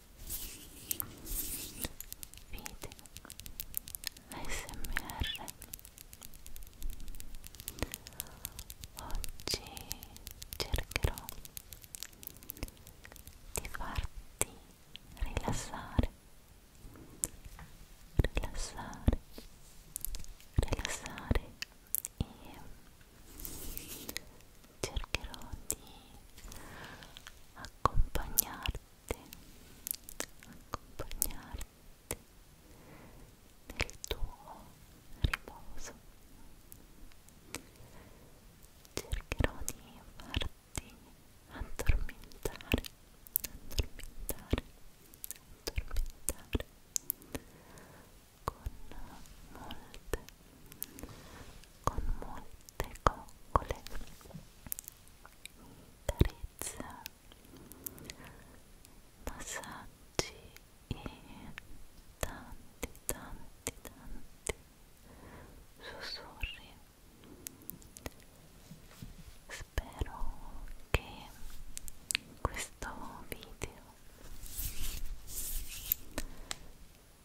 video ASMR oggi cercherò di farti rilassare rilassare rilassare e cercherò di accompagnarti accompagnarti nel tuo riposo. Cercherò di farti addormentare, addormentare, addormentare con molte, con molte le coccole carezza massaggi e tanti tanti tanti sussurri spero che questo video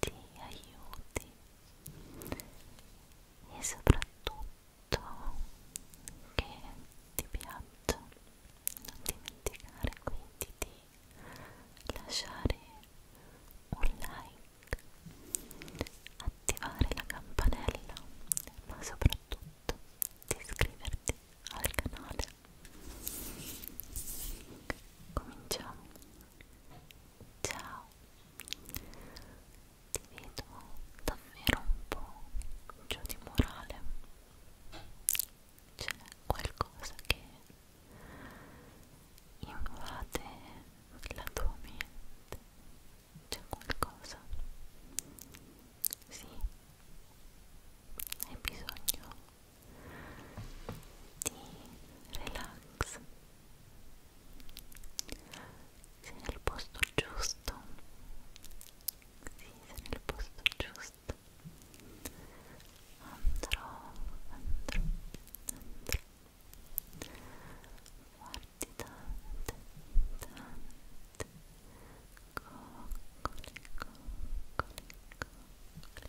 ti aiuti e soprattutto che ti piaccia non dimenticare quindi di lasciare un like attivare la campanella ma soprattutto di iscriverti al canale cominciamo ciao ti vedo davvero un po' giù di morale c'è qualcosa che invade la tua mente c'è qualcosa sì hai bisogno di relax sei nel posto giusto sì, sei nel posto giusto andrò, andrò, andrò guardi tante, tante coccole, coccole, coccole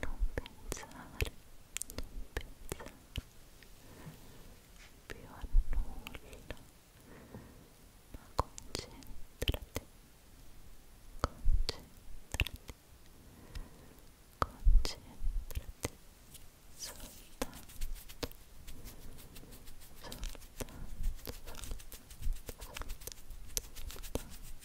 non pensare, non pensare più a nulla, ma concentrati, concentrati, concentrati soltanto, soltanto, soltanto, soltanto, soltanto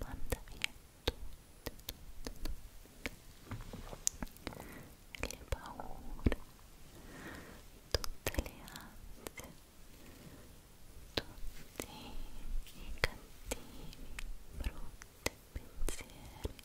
manda via tutte, tutte, tutte le paure, tutte le ansie, tutti i cattivi, brutti pensieri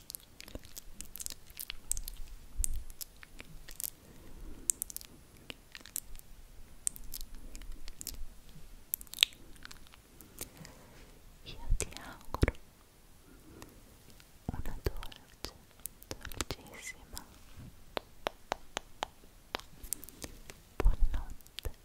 Io ti auguro una dolce, dolcissima buonanotte.